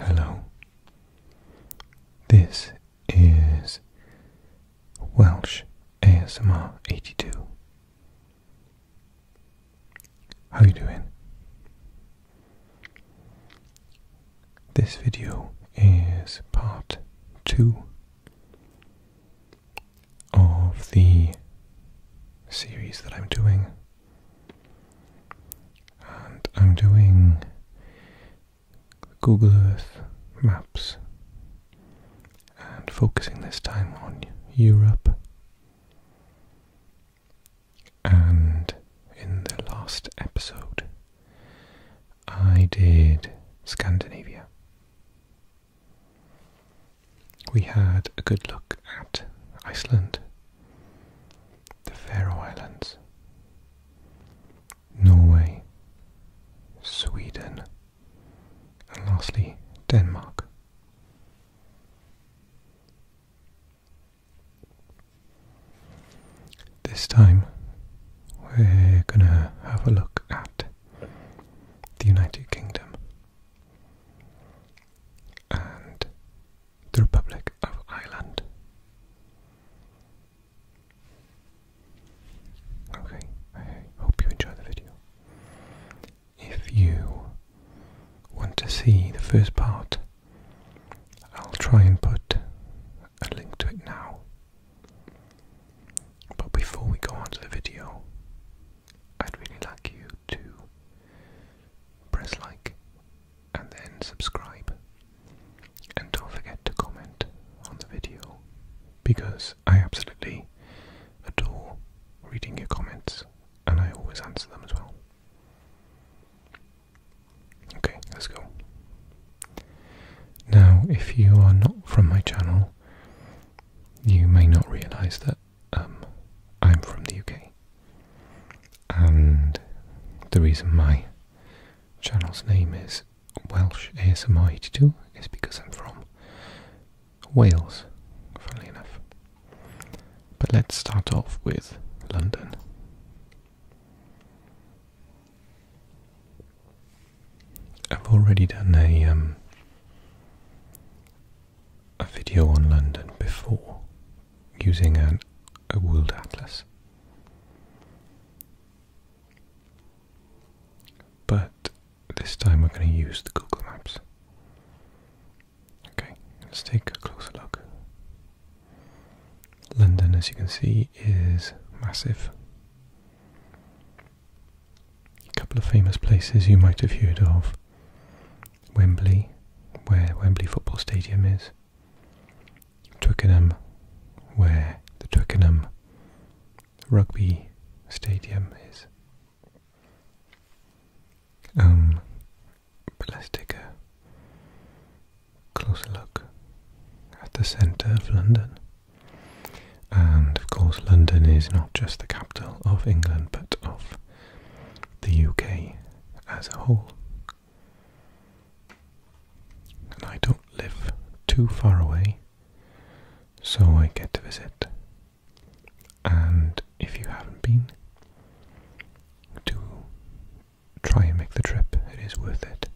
Hello. This is Welsh ASMR 82. How are you doing? This video is part 2 of the series that I'm doing. And I'm doing Google Earth maps and focusing this time on Europe. And in the last episode, I did Scandinavia. We had a good look at Iceland, the Faroe Islands, Norway, Sweden, and lastly Denmark. This time we're going to have a look at the United Kingdom and the Republic of Ireland. Okay, I hope you enjoyed the video. If you want to see the first part, I'll try and put a link to it now. But before we go on the video, I'd really like you to press like and then subscribe. And don't forget to comment on the video because I absolutely adore reading your comments and I always answer them as well. Okay, let's go. Now, if you are not from my channel, you may not realize that um, I'm from the UK, and the reason my channel's name is Welsh ASMR 82 is because I'm from Wales, funnily enough. But let's start off with London. I've already done a um, a video on London before using an, a world atlas. But this time we're going to use the Google Maps. Okay, let's take a closer look. London, as you can see, is massive. A couple of famous places you might have heard of Wembley, where Wembley Football Stadium is, Twickenham, where the Twickenham Rugby Stadium is. Um, but let's take a closer look at the centre of London. And of course, London is not just the capital of England, of the UK as a whole. And I don't live too far away, so I get to visit. And if you haven't been, do try and make the trip, it is worth it.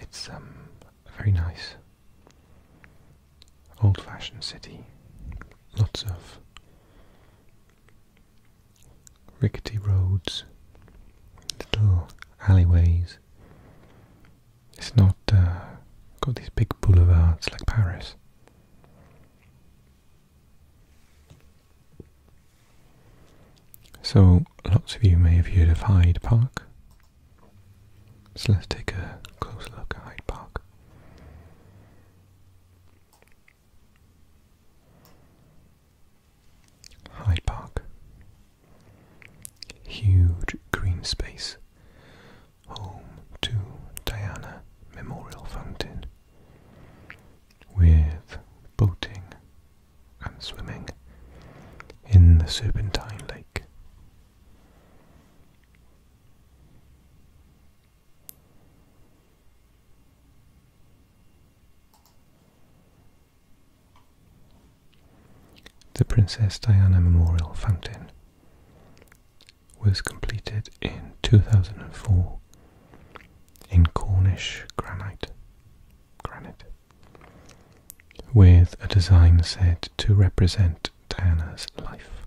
It's um, very nice old fashioned city. Lots of rickety roads, little alleyways. It's not uh, got these big boulevards like Paris. So, lots of you may have heard of Hyde Park. So let's take a close look at Hyde Park. Hyde Park. Huge green space. Home to Diana Memorial Fountain. With boating and swimming in the Serpentine Lake. The Princess Diana Memorial Fountain was completed in 2004 in Cornish granite, with a design set to represent Diana's life.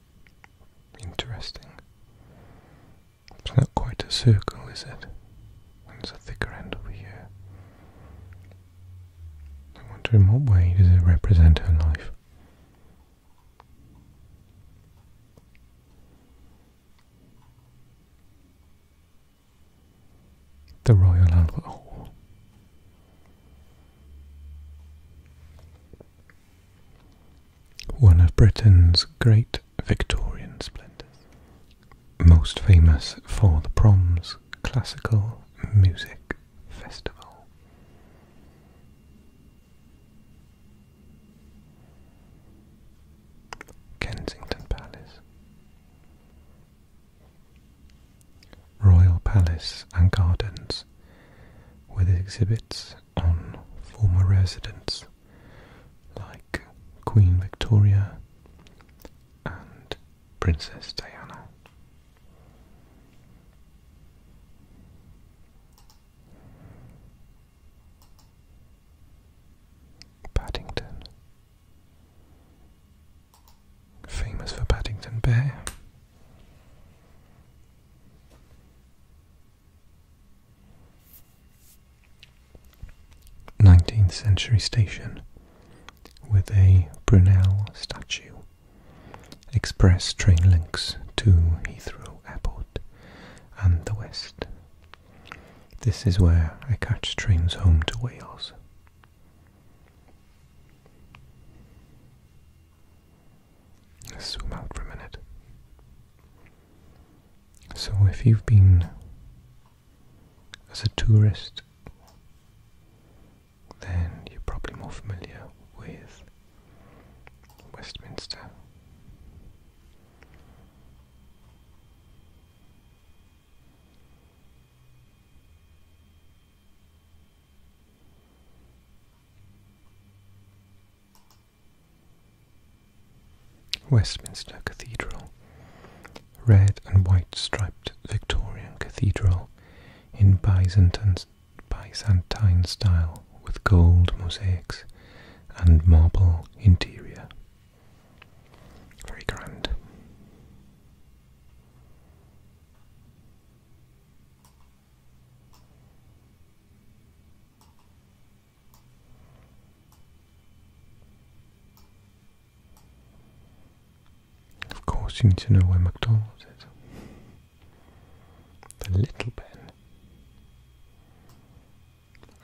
Interesting. It's not quite a circle, is it? There's a thicker end over here. I wonder in what way does it represent her life? The Royal Albert one of Britain's great Victorian splendours, most famous for the Proms Classical Music Festival. Kensington Palace Royal Palace and Gardens with exhibits on former residents like Queen Victoria and Princess Diana. Paddington. Famous for Paddington Bear. 19th century station with a Brunel statue. Express train links to Heathrow Airport and the West. This is where I catch trains home to Wales zoom out for a minute. So, if you've been as a tourist, then you're probably more familiar with Westminster. Westminster Cathedral, red and white striped Victorian cathedral in Byzantine, style with gold mosaics and marble interior. Very grand. Of course, you need to know where McDonald's is. The little pen.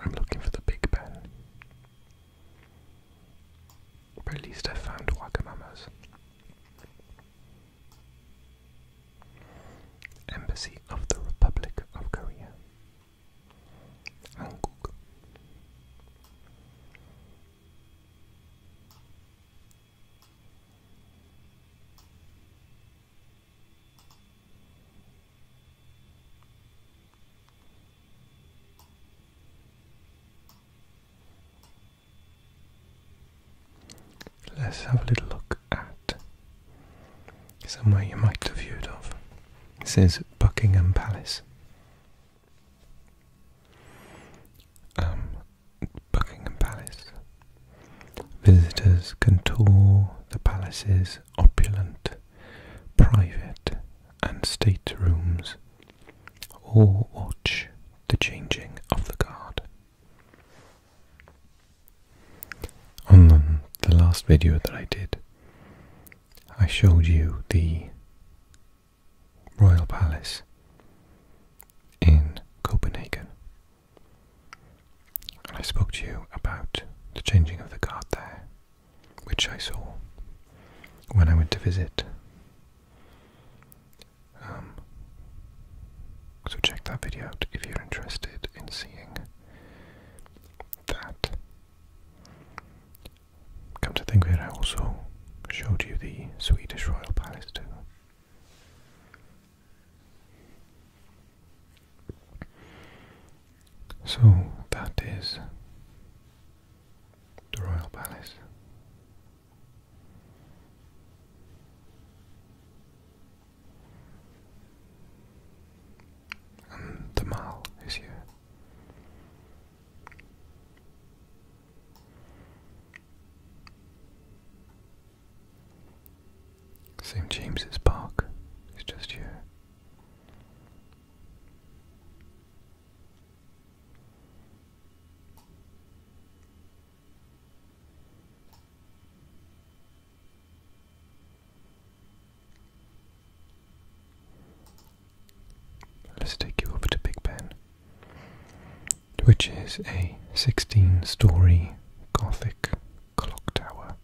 I'm looking for the big pen. at least I found Wagamama's. Embassy of the Republic of Korea. 한국 let's have a little look at somewhere you might have heard of. This is Buckingham Palace. Um, Buckingham Palace. Visitors can tour the palace's opulent, private, and state rooms, or watch the changing of the guard. On the last video that I did, I showed you the Royal Palace in Copenhagen. And I spoke to you about the changing of the guard there, which I saw when I went to visit. Um, so check that video out if you're interested in seeing that. Come to think of it, I also showed you the Swedish Royal Palace too. So that is the Royal Palace. And the Mall is here. St. James's Park is just here. Let's take you over to Big Ben, which is a 16 story Gothic clock tower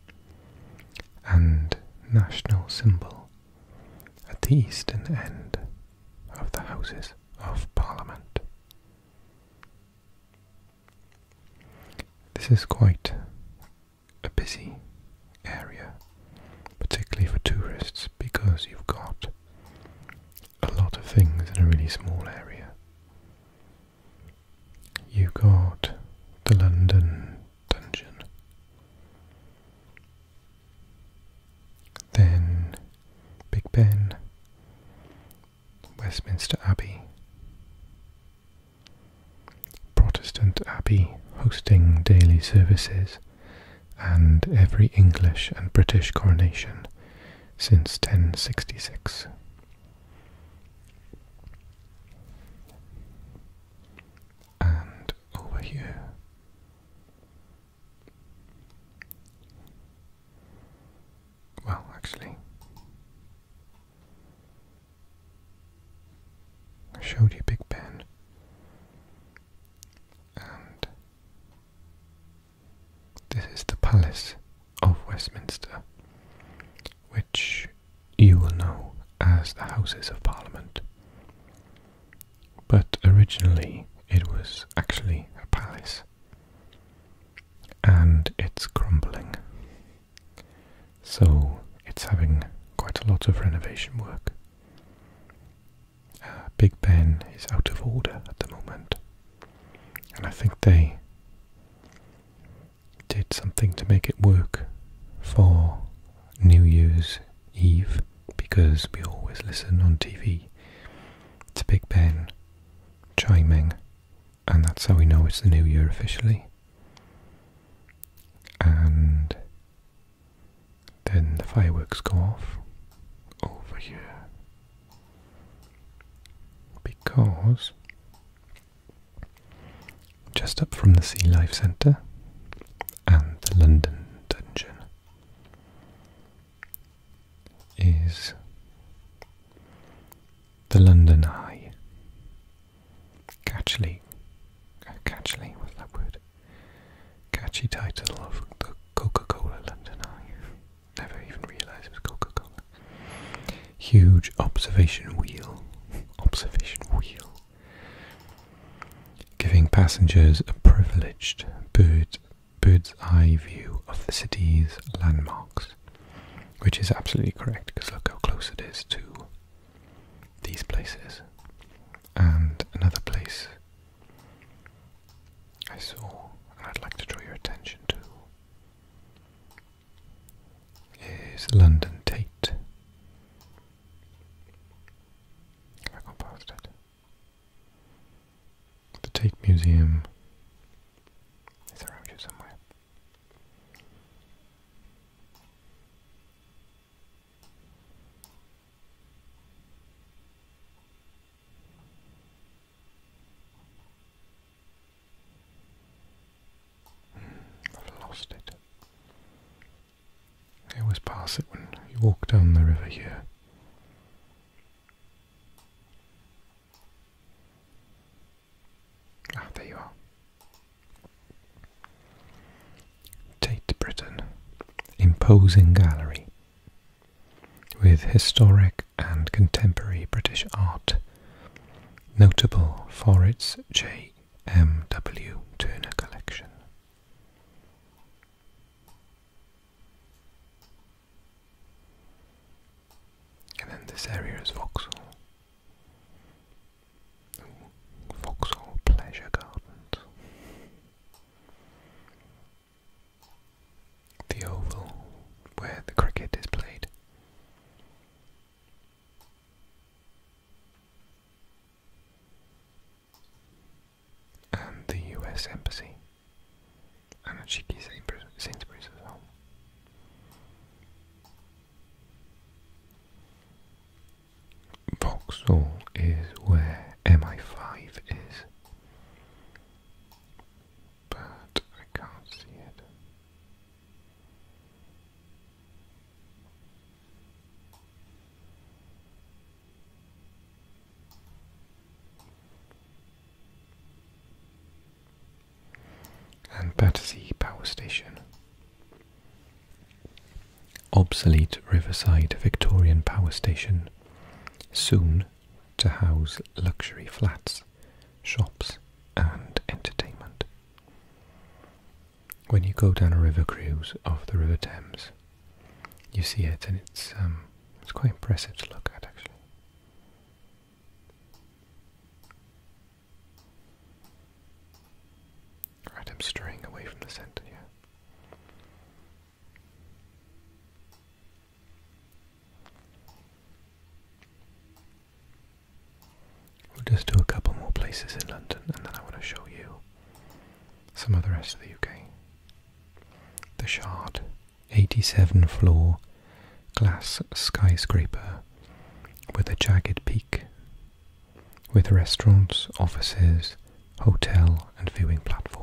and national symbol at the eastern end of the Houses of Parliament. This is quite a busy area, particularly for tourists, because you've got a lot of things in a really small area. You've got the London Dungeon. Then Big Ben, Westminster Abbey. Protestant Abbey hosting daily services and every English and British coronation since 1066. And over here. Well, actually, I showed you Big Ben, and this is the Palace of Westminster, which you will know as the Houses of Parliament. But originally, it was actually a palace and it's crumbling. So it's having quite a lot of renovation work. Uh, Big Ben is out of order at the moment, and I think they did something to make it work for New Year's Eve because we always listen on TV to Big Ben chiming and that's how we know it's the new year officially. And then the fireworks go off over here because just up from the Sea Life Centre and the London Dungeon is the London Eye. Catchily, catchily, what's that word? Catchy title of the Coca-Cola London Eye. Never even realised it was Coca-Cola. Huge observation wheel, observation wheel, giving passengers a privileged bird bird's eye view of the city's landmarks. Which is absolutely correct, because look how close it is to these places. And another place I saw, and I'd like to draw your attention to, is London Tate. I got past it? The Tate Museum is around here somewhere. Hmm, I've lost it. I always pass it when you walk down the river here. Ah, there you are. Tate Britain, imposing gallery with historic and contemporary British art, notable for its J.M.W. Turner collection. And then this area is Vauxhall. Ooh, Vauxhall Pleasure Gardens. The oval where the cricket is played. And the US Embassy i a cheeky Sainsbury's as is where MI5 is, but I can't see it and Battersea Power Station. Obsolete Riverside Victorian Power Station, soon to house luxury flats, shops, and entertainment. When you go down a river cruise off the River Thames, you see it, and it's um, it's quite impressive to look at actually. I'm straying away from the center here. We'll just do a couple more places in London and then I want to show you some of the rest of the UK. The Shard 87 floor glass skyscraper with a jagged peak, with restaurants, offices, hotel, and viewing platform.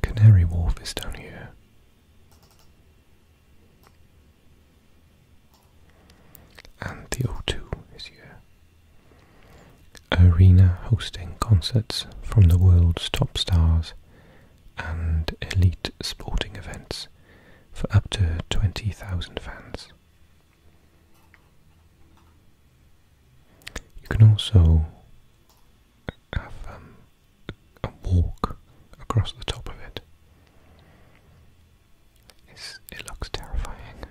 Canary Wharf is down here. And the O2 is here. Arena hosting concerts from the world's top stars and elite sporting events for up to 20,000 fans. You can also have um, and walk across the top of it. it looks terrifying.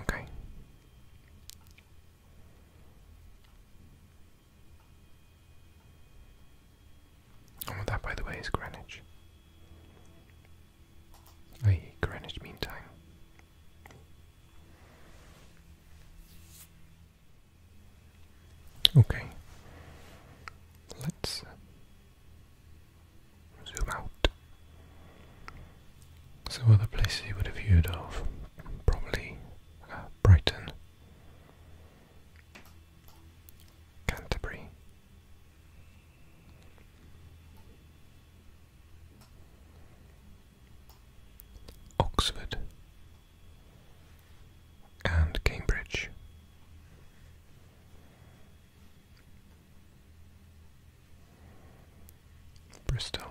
Okay. Oh, that, by the way, is Greenwich. I Greenwich Mean Time. Okay, let's uh, zoom out. Some other places you would have heard of, probably uh, Brighton, Canterbury. Oxford and Cambridge. Bristol,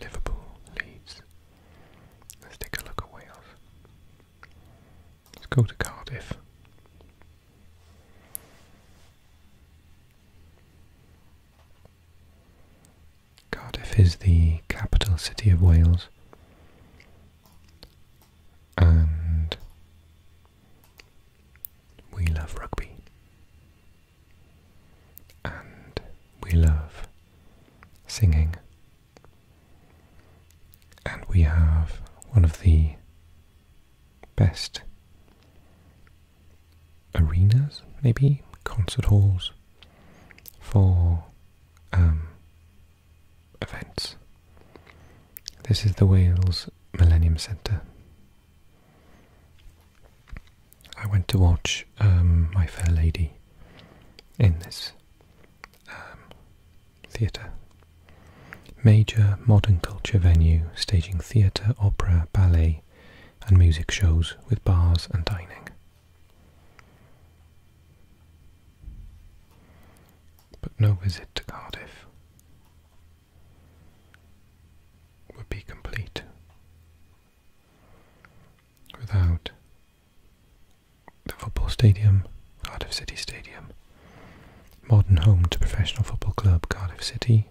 Liverpool, Leeds. Let's take a look at Wales. Let's go to Cardiff. Cardiff is the capital city of Wales and we love rugby and we love singing and we have one of the best arenas, maybe concert halls for um, events. This is the Wales Millennium Centre. I went to watch um, My Fair Lady in this um, theatre. Major modern culture venue staging theatre, opera, ballet, and music shows with bars and dining. But no visit to Cardiff would be complete without the football stadium, Cardiff City Stadium. Modern home to professional football club Cardiff City,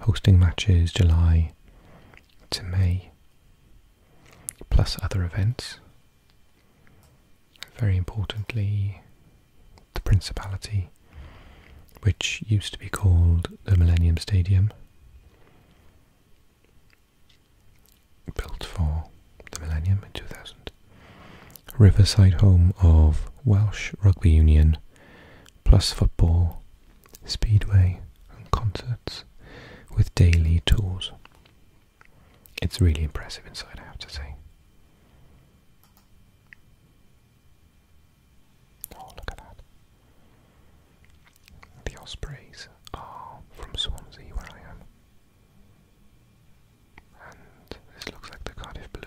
hosting matches July to May, plus other events. Very importantly, the Principality, which used to be called the Millennium Stadium, built for the millennium in 2000. Riverside home of Welsh Rugby Union, plus football, speedway and concerts with daily tours. It's really impressive inside, I have to say. Oh, look at that. The Ospreys are from Swansea, where I am. And this looks like the Cardiff Blues.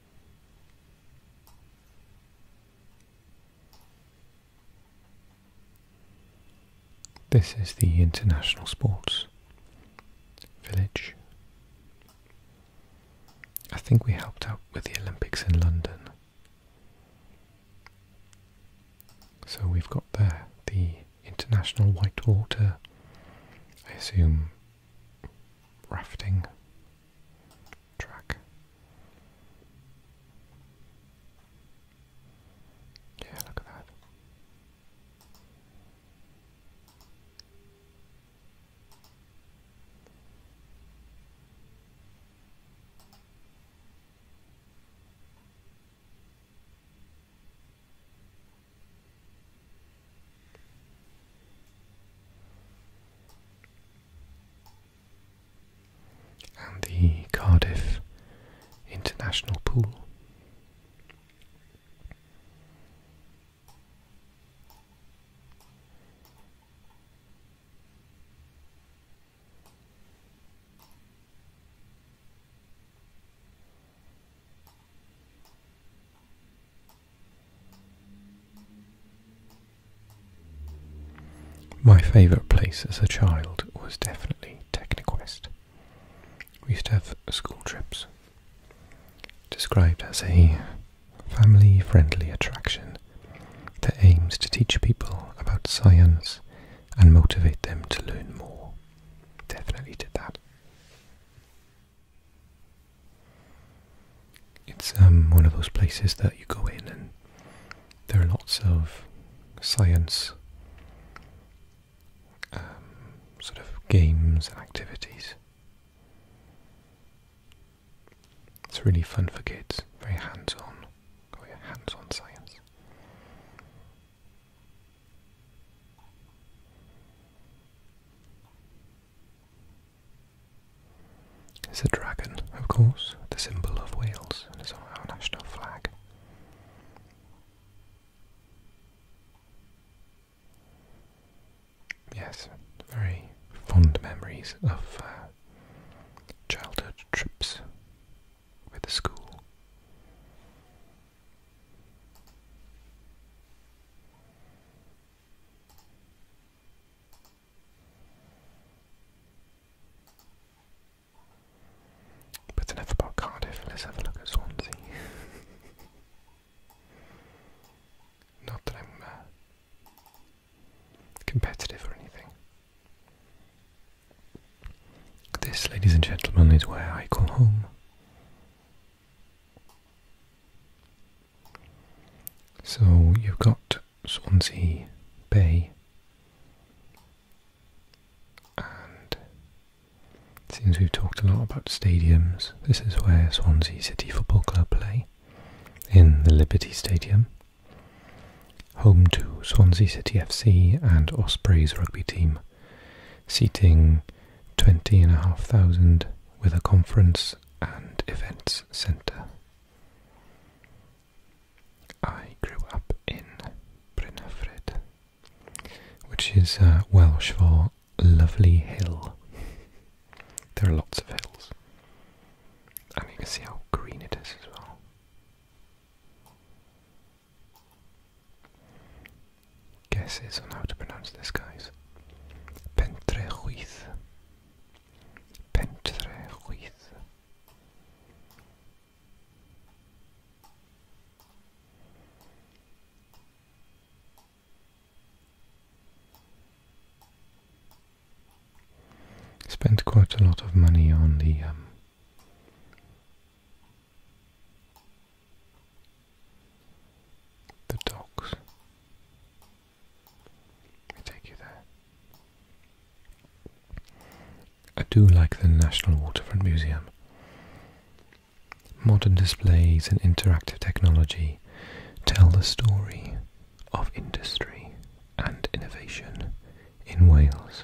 This is the International Sports Village. I think we helped out with the Olympics in London. So we've got there the International Whitewater, I assume rafting track. Yeah, look at that and the Cardiff International Pool. My favourite place as a child was definitely Techniquest. We used to have school trips, described as a family friendly attraction that aims to teach people about science and motivate them to learn more. Definitely did that. It's um, one of those places that you go in and there are lots of science um, sort of games and activities. It's really fun for kids, very hands-on, oh hands-on science. It's a dragon, of course, the symbol of Wales, and it's on our national flag. Yes, very fond memories of uh, childhood trips with the school. But enough about Cardiff, let's have a look at Swansea. Not that I'm uh, competitive or anything. This, ladies and gentlemen, is where I call home. So you've got Swansea Bay and since we've talked a lot about stadiums. This is where Swansea City Football Club play in the Liberty Stadium. Home to Swansea City FC and Ospreys rugby team, seating 20,500 with a conference and events centre. I grew up in Brynafred, which is uh, Welsh for lovely hill. there are lots of hills, and you can see how green it is as well guesses on how to pronounce this, guys. Pentrejuiz. Pentrejuiz. Spent quite a lot of money on the um, the docks. Let me take you there. I do like the National Waterfront Museum. Modern displays and interactive technology tell the story of industry and innovation in Wales.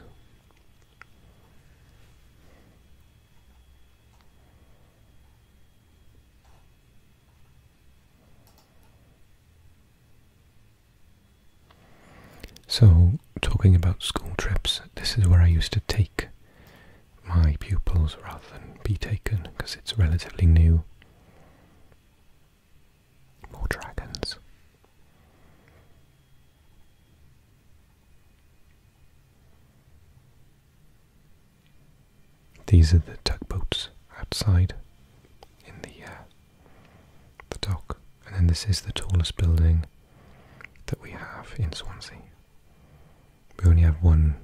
So, talking about school trips, this is where I used to take my pupils rather than be taken because it's relatively new. More dragons. These are the tugboats outside in the uh, the dock, and then this is the tallest building that we have in Swansea. We only have one,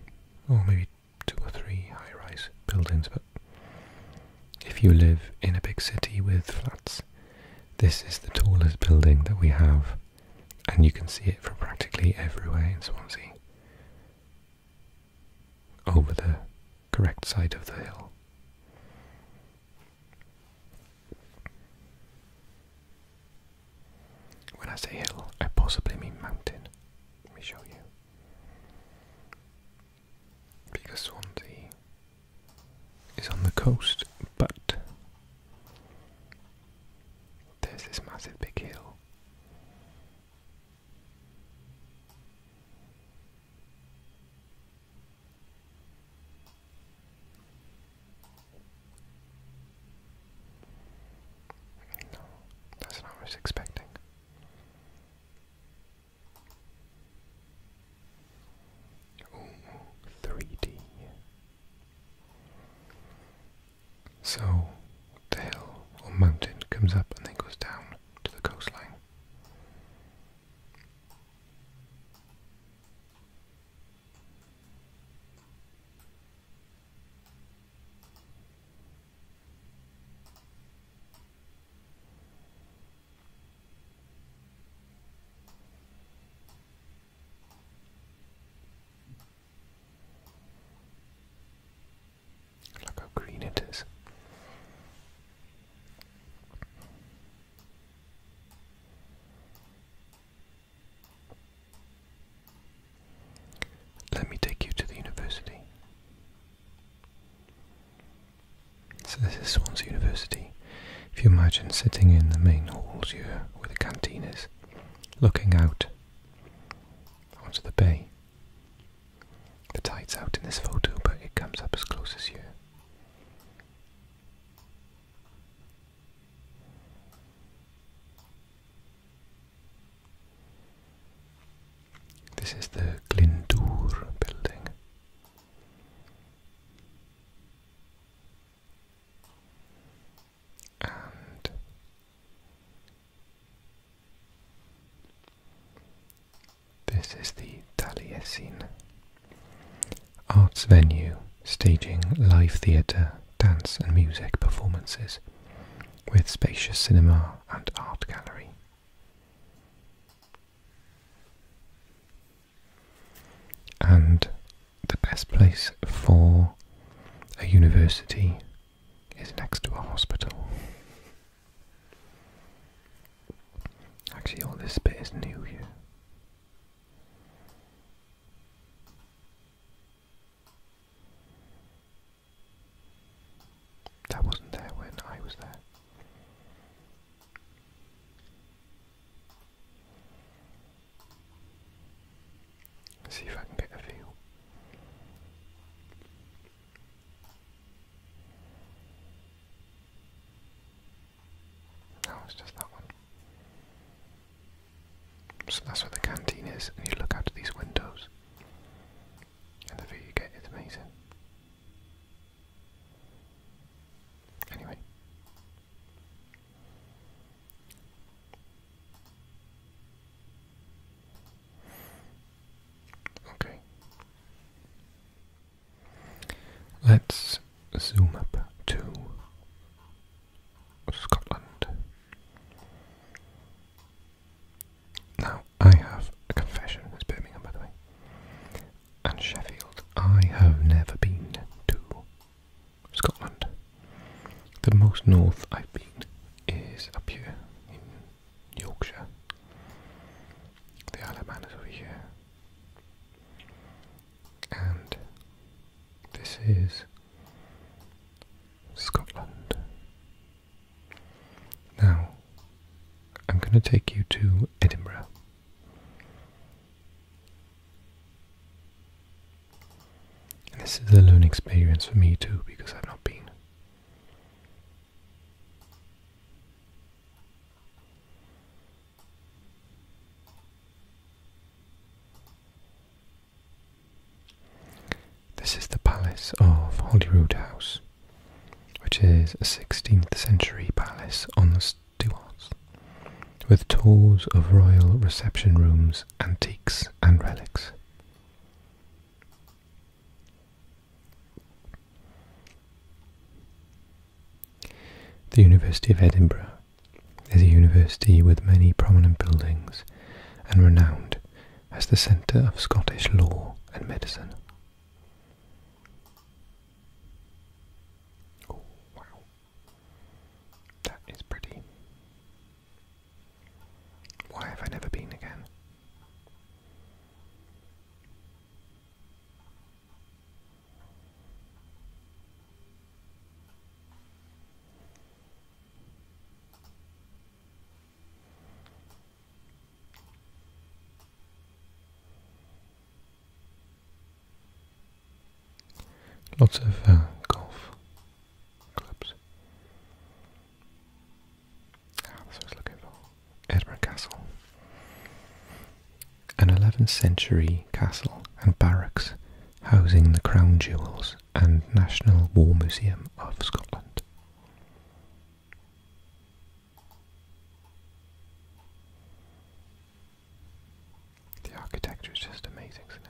or maybe two or three high-rise buildings, but if you live in a big city with flats, this is the tallest building that we have, and you can see it from practically everywhere in Swansea over the correct side of the hill. When I say hill, I possibly mean mountain. Let me show you. Because Swansea is on the coast, but there's this massive big hill no, that's not what I was expecting. Ooh, 3D. So the hill or mountain comes up and then goes down to the coastline. Look how green it is. Let me take you to the university. So, this is Swansea University. If you imagine sitting in the main halls here where the canteen is, looking out onto the bay. The tide's out in this photo, but it comes up as close as you. This is the Glendur building and this is the Scene arts venue staging live theatre, dance and music performances with spacious cinema and art gallery. And the best place for a university is next to a hospital. Actually, all this bit is new here. That wasn't there when I was there see if I can get a feel. No, it's just that one. So that's where the canteen is, and you look out of these windows, and the view you get is amazing. Anyway, Okay. Let's zoom up to Scotland. Now, I have a confession, it's Birmingham by the way, and Sheffield. I have never been to Scotland. The most north I've been is up here in Yorkshire. The Isle of Man is over here. And this is Scotland. Now, I'm going to take you to Edinburgh this is a learning experience for me too, because I've not been. This is the palace of Holyrood House, which is a 16th century palace on the Stuarts, with tours of royal reception rooms, antiques, and relics. The University of Edinburgh is a university with many prominent buildings and renowned as the centre of Scottish law and medicine. Oh, wow. That is pretty. Why have I never been again? Lots of uh, golf clubs. Edinburgh Castle. An 11th century castle and barracks housing the crown jewels and National War Museum of Scotland. The architecture is just amazing, isn't it?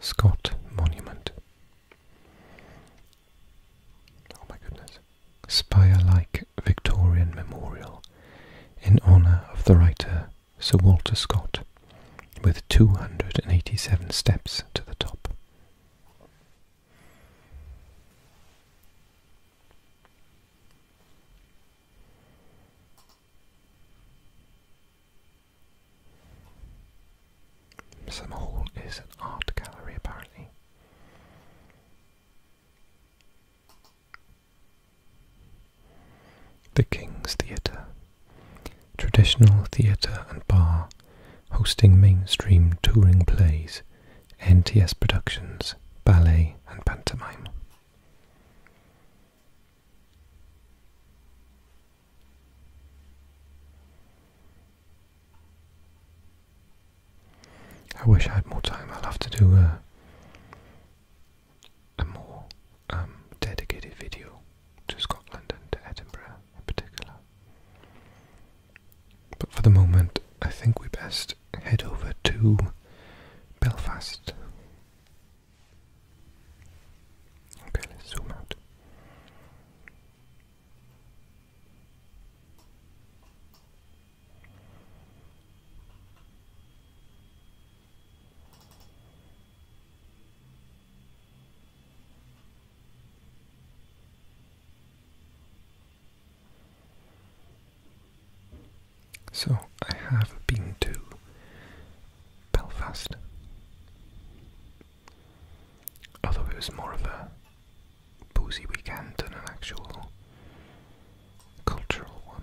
Scott Monument. Oh my goodness. Spire like Victorian memorial in honour of the writer Sir Walter Scott, with 287 steps to the top. Some is an art gallery apparently. The King's Theatre Traditional theatre and bar, hosting mainstream touring plays, NTS productions, ballet, and pantomime. I wish I had more time. I'll have to do a, more um, dedicated video to Scotland and to Edinburgh in particular. But for the moment, I think we best head over to Belfast. Okay, let's zoom out. So I have been to Belfast, although it was more of a boozy weekend than an actual cultural one.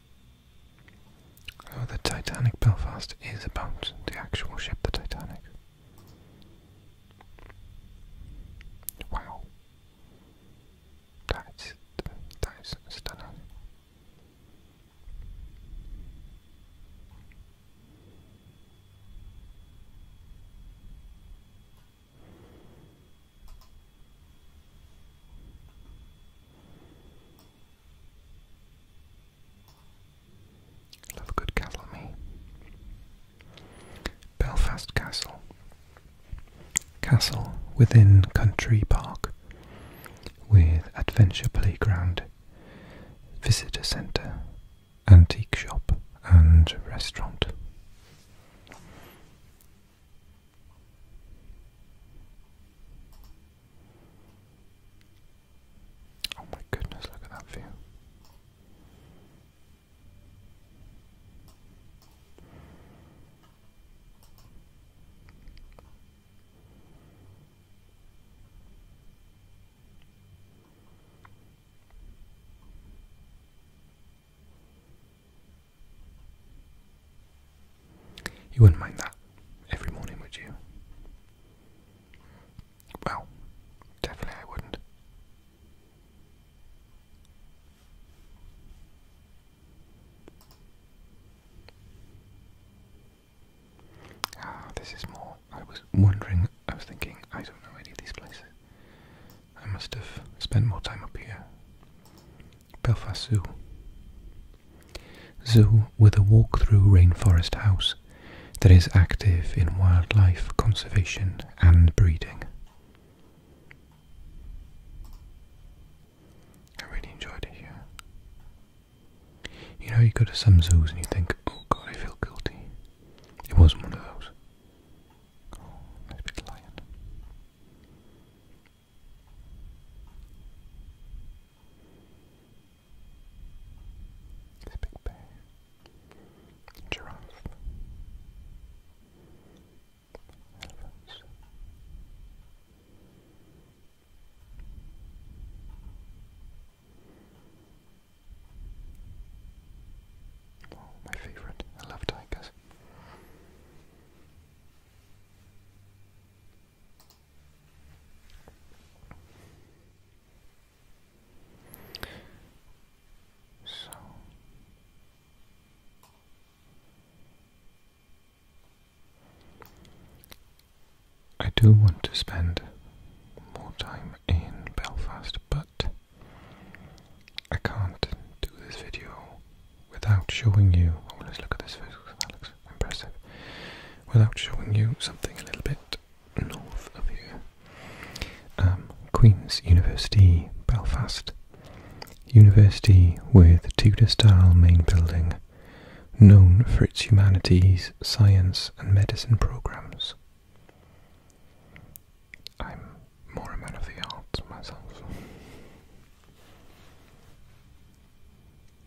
Uh, the Titanic Belfast is about the actual ship, the Titanic. Wow. That's, that's stunning. Love a good castle, me. Belfast Castle. Castle within Country Park with adventure playground, visitor centre, antique shop, and restaurant. Oh my goodness, look at that view. You wouldn't mind that every morning, would you? Well, definitely I wouldn't. Ah, this is more. I was wondering, I was thinking, I don't know any of these places. I must have spent more time up here. Belfast Zoo. Zoo with a walk-through rainforest house that is active in wildlife conservation and breeding. I really enjoyed it You know, you go to some zoos and you think, oh god, I feel guilty. It wasn't one of those. Oh, nice big lion big bear. Giraffe. Elephants. Oh, my favorite. I love tigers. So I do want to spend more time in Belfast, but I can't do this video without showing you. Oh, let's look at this impressive without showing you something a little bit north of here. Um, Queen's University, Belfast. University with Tudor style main building, known for its humanities, science, and medicine programs. I'm more a man of the arts myself.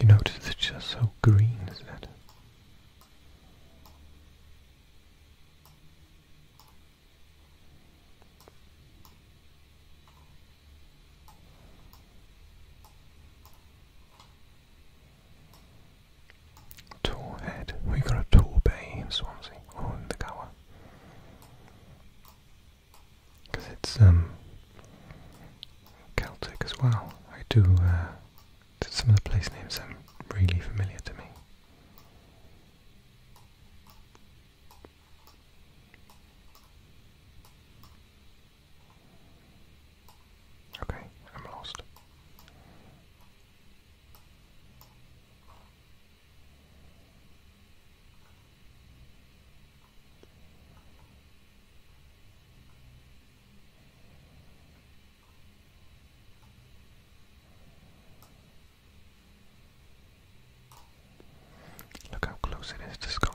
You notice it's just so green, isn't it? Tall head. We got a tall bay Swansea or in the Gower. Because it's um Celtic as well. I do uh, some of the place names sound really familiar to me. Okay, I'm lost. Look how close it is to Scotland.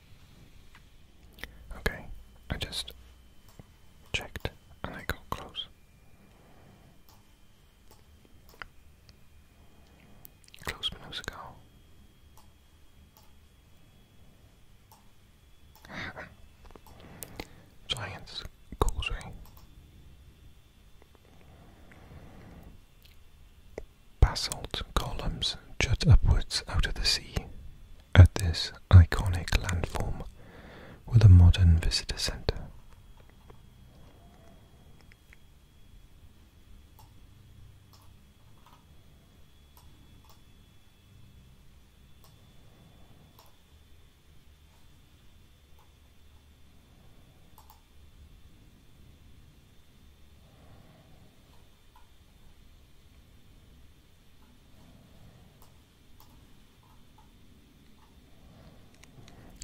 Okay, I just checked and I got close. Close but no Giants Causeway. Basalt columns jut upwards out of the sea, at this iconic landform with a modern visitor centre.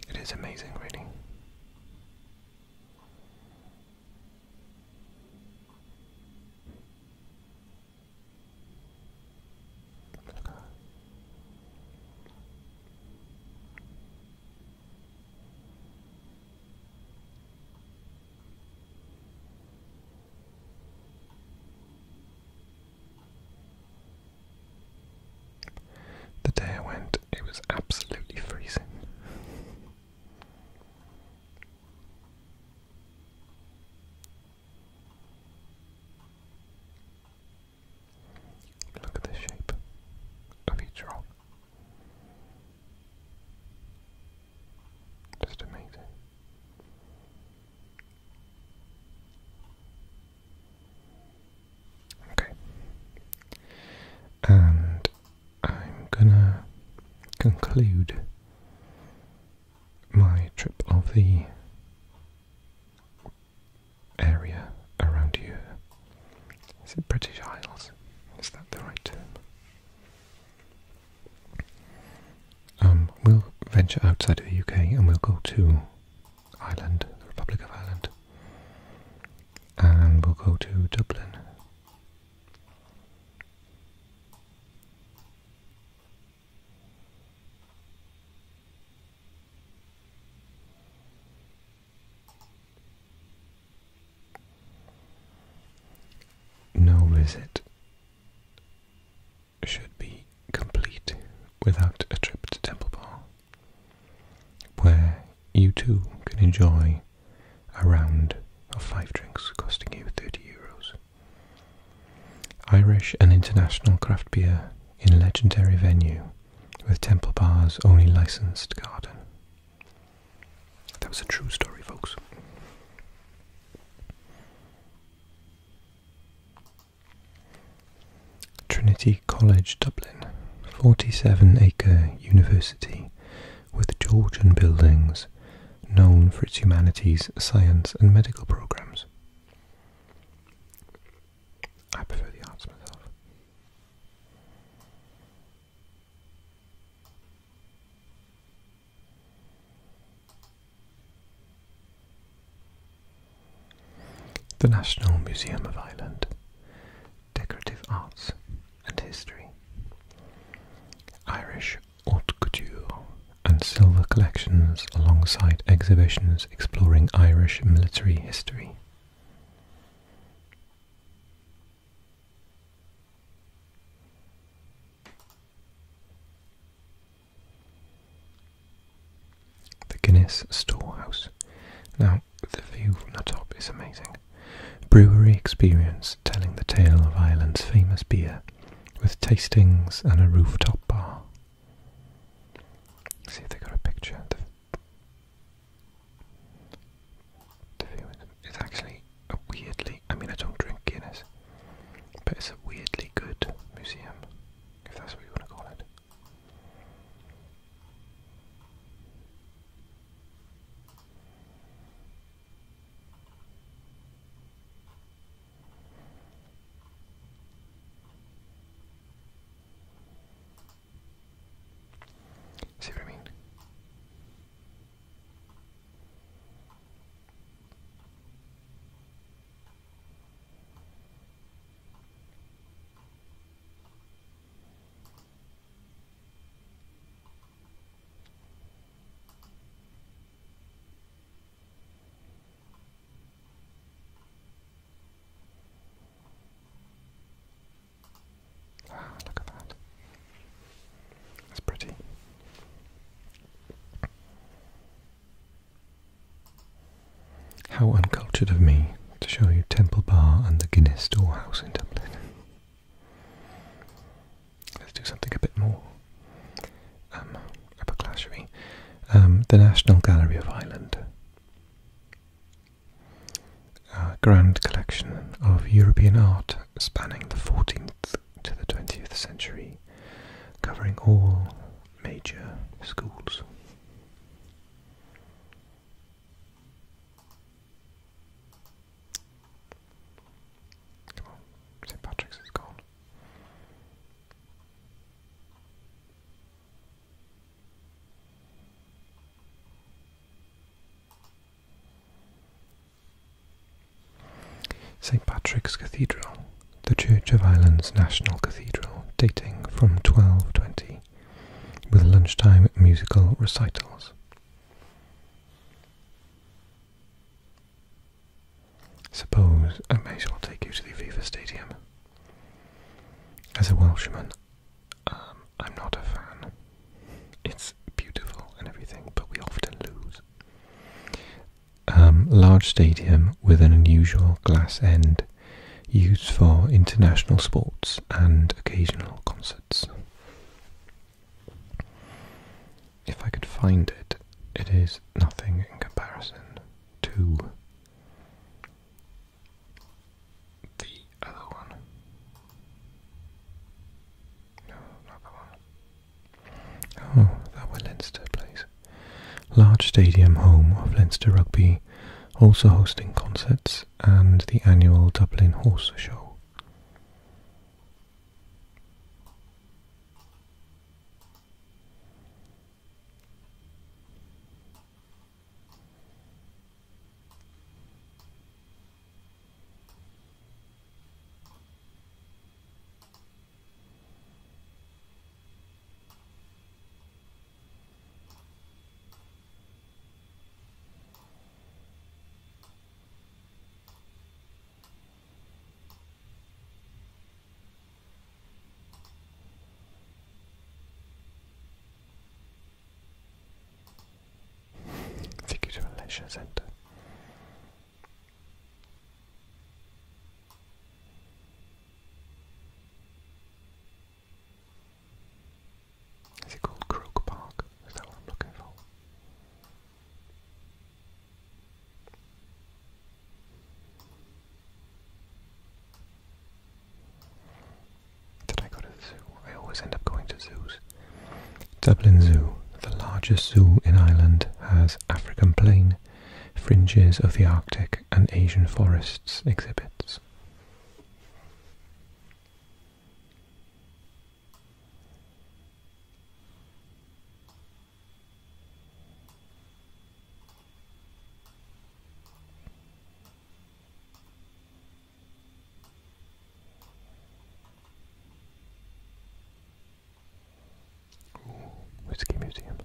It is amazing really. The day I went, it was absolutely freezing. Look at the shape of each rock. Just amazing. Okay. And I'm gonna conclude my trip of the area around here. Is it British Isles? Is that the right term? Um, we'll venture outside of the UK and we'll go to Ireland, the Republic of Ireland, and we'll go to Dublin. No visit should be complete without a trip to Temple Bar, where you too can enjoy a round of five drinks costing you 30 euros. Irish and international craft beer in legendary venue with Temple Bar's only licensed garden. That was a true story, folks. Trinity College Dublin, 47 acre university with Georgian buildings known for its humanities, science, and medical programs. I prefer the arts myself. The National Museum of Ireland, Decorative Arts and History, Irish Haute Couture, and silver collections alongside exhibitions exploring Irish military history. The Guinness Storehouse. Now, the view from the top is amazing. Brewery experience telling the tale of Ireland's famous beer with tastings and a rooftop bar. see if they got a picture. The, view is actually a weirdly, I mean I don't drink Guinness, but it's a weirdly good museum, if that's what you want to call it. See what I mean? Ah, look at that. That's pretty. How uncultured of me to show you Temple Bar and the Guinness Storehouse in Dublin. Let's do something a bit more um, upper class, um, the National Gallery of Ireland. grand collection of European art spanning the 14th to the 20th century, covering all major schools. Come on, St. Patrick's is St. Patrick's Cathedral, the Church of Ireland's national cathedral, dating from 1220, with lunchtime musical recitals. Suppose I may as well take you to the Aviva Stadium. As a Welshman, um, I'm not a fan. It's beautiful and everything, but we often lose. Um, large stadium with an unusual glass end used for international sports and occasional concerts. If I could find it, it is nothing in comparison to the other one. No, not that one. Oh, that were Leinster plays. Large stadium home of Leinster Rugby, also hosting concerts and the annual Dublin Horse Show. Take you to a leisure centre. Is it called Crook Park? Is that what I'm looking for? Did I go to the zoo? I always end up going to zoos. Dublin Zoo, the largest zoo in Ireland, has African plain, fringes of the Arctic and Asian forests exhibits. Whiskey Museum.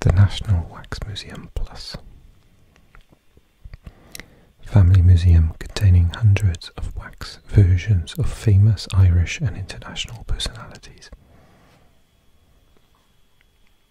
The National Wax Museum Plus. Family museum containing hundreds of wax versions of famous Irish and international personalities.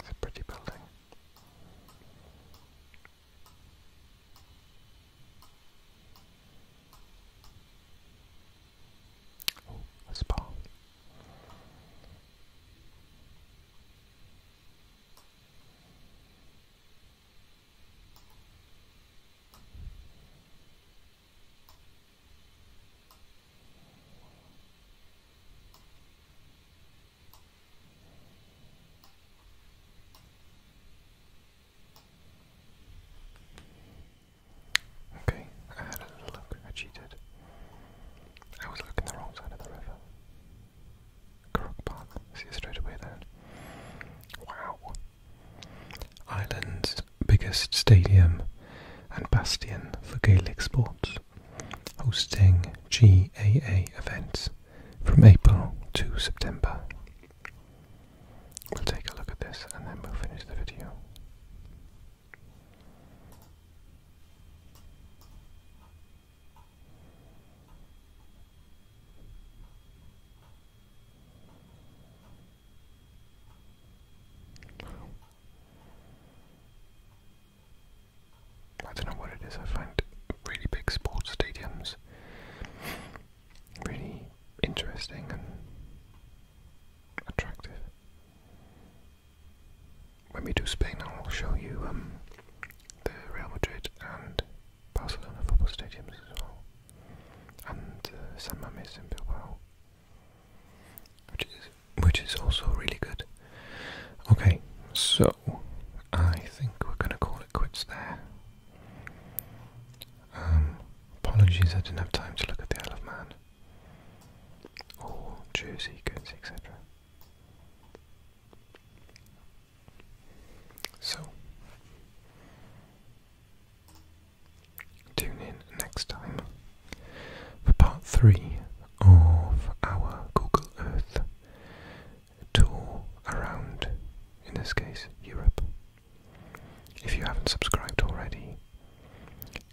It's a pretty building. Oh, a spa. Okay, I had a look. I cheated. I was looking the wrong side of the river. Correct path. See straight away then. Wow. Ireland's biggest stadium and bastion for Gaelic sports, hosting GAA events from April to September. We'll take a look at this and then we'll finish the video. I don't know what it is, I find really big sports stadiums really interesting and attractive when we do Spain, I'll show you um, the Real Madrid and Barcelona football stadiums as well, and uh, San Mamés in Bilbao, which is which is also really good. Okay, so I think we're gonna call it quits there. Um, apologies, I didn't have time to look at the Isle of Man or Jersey goods, etc. So, tune in next time for part three of our Google Earth tour around, in this case, Europe. If you haven't subscribed already,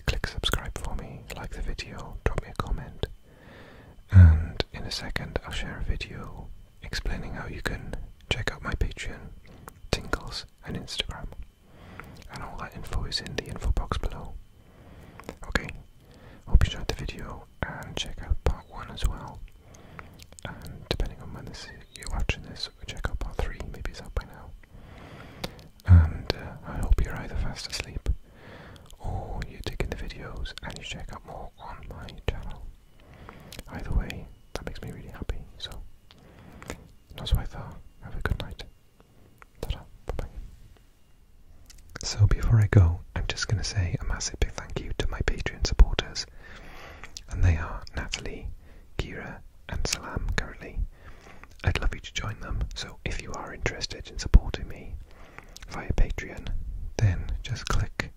Click subscribe for me, like the video, drop me a comment, and in a second I'll share a video explaining how you can check out my Patreon, Tinkles, and Instagram. And all that info is in the info box below. Okay, hope you enjoyed the video and check out part 1 as well. And depending on when you're watching this, check out part 3, maybe it's out by now and uh, I hope you're either fast asleep or you're taking the videos and you check out more on my channel. Either way, that makes me really happy. So, that's what I thought. Have a good night. ta Bye-bye. So before I go, I'm just going to say a massive big thank you to my Patreon supporters. And they are Natalie, Kira, and Salam currently. I'd love you to join them, so if you are interested in supporting me, via Patreon, then just click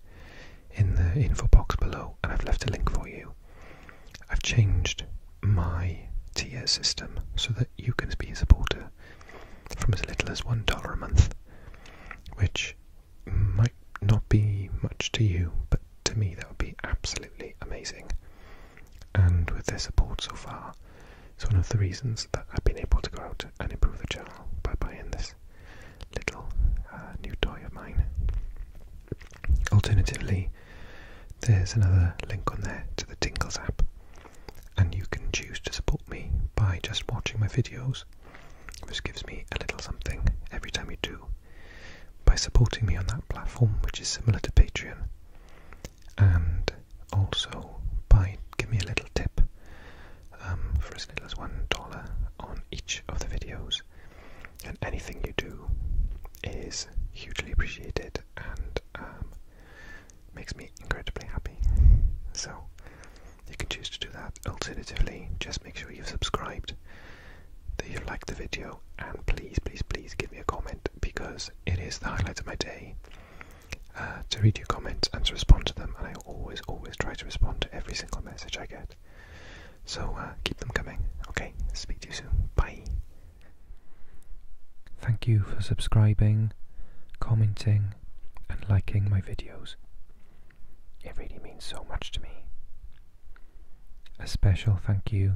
in the info box below and I've left a link for you. I've changed my tier system so that you can be a supporter from as little as $1 a month, which might not be much to you, but to me that would be absolutely amazing. And with their support so far, it's one of the reasons that I've been able to go out and improve the channel by buying this little uh, new toy of mine. Alternatively, there's another link on there to the Tinkles app, and you can choose to support me by just watching my videos, which gives me a little something every time you do. By supporting me on that platform, which is similar to Patreon, and also buy give me a little tip um, for as little as one dollar on each of the videos. And anything you do is hugely appreciated and um, makes me incredibly happy. So you can choose to do that. Alternatively, just make sure you've subscribed, that you like the video, and please, please, please give me a comment because it is the highlight of my day. Uh, to read your comments and to respond to them. And I always, always try to respond to every single message I get. So uh, keep them coming. Okay, speak to you soon. Bye. Thank you for subscribing, commenting, and liking my videos. It really means so much to me. A special thank you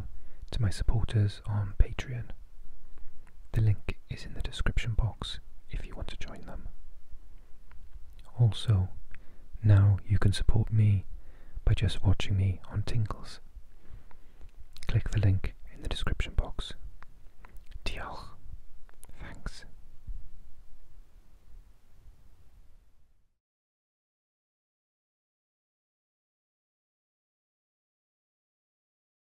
to my supporters on Patreon. The link is in the description box if you want to join them. Also, now you can support me by just watching me on Tinkles. Click the link in the description box. Diolch. Thanks.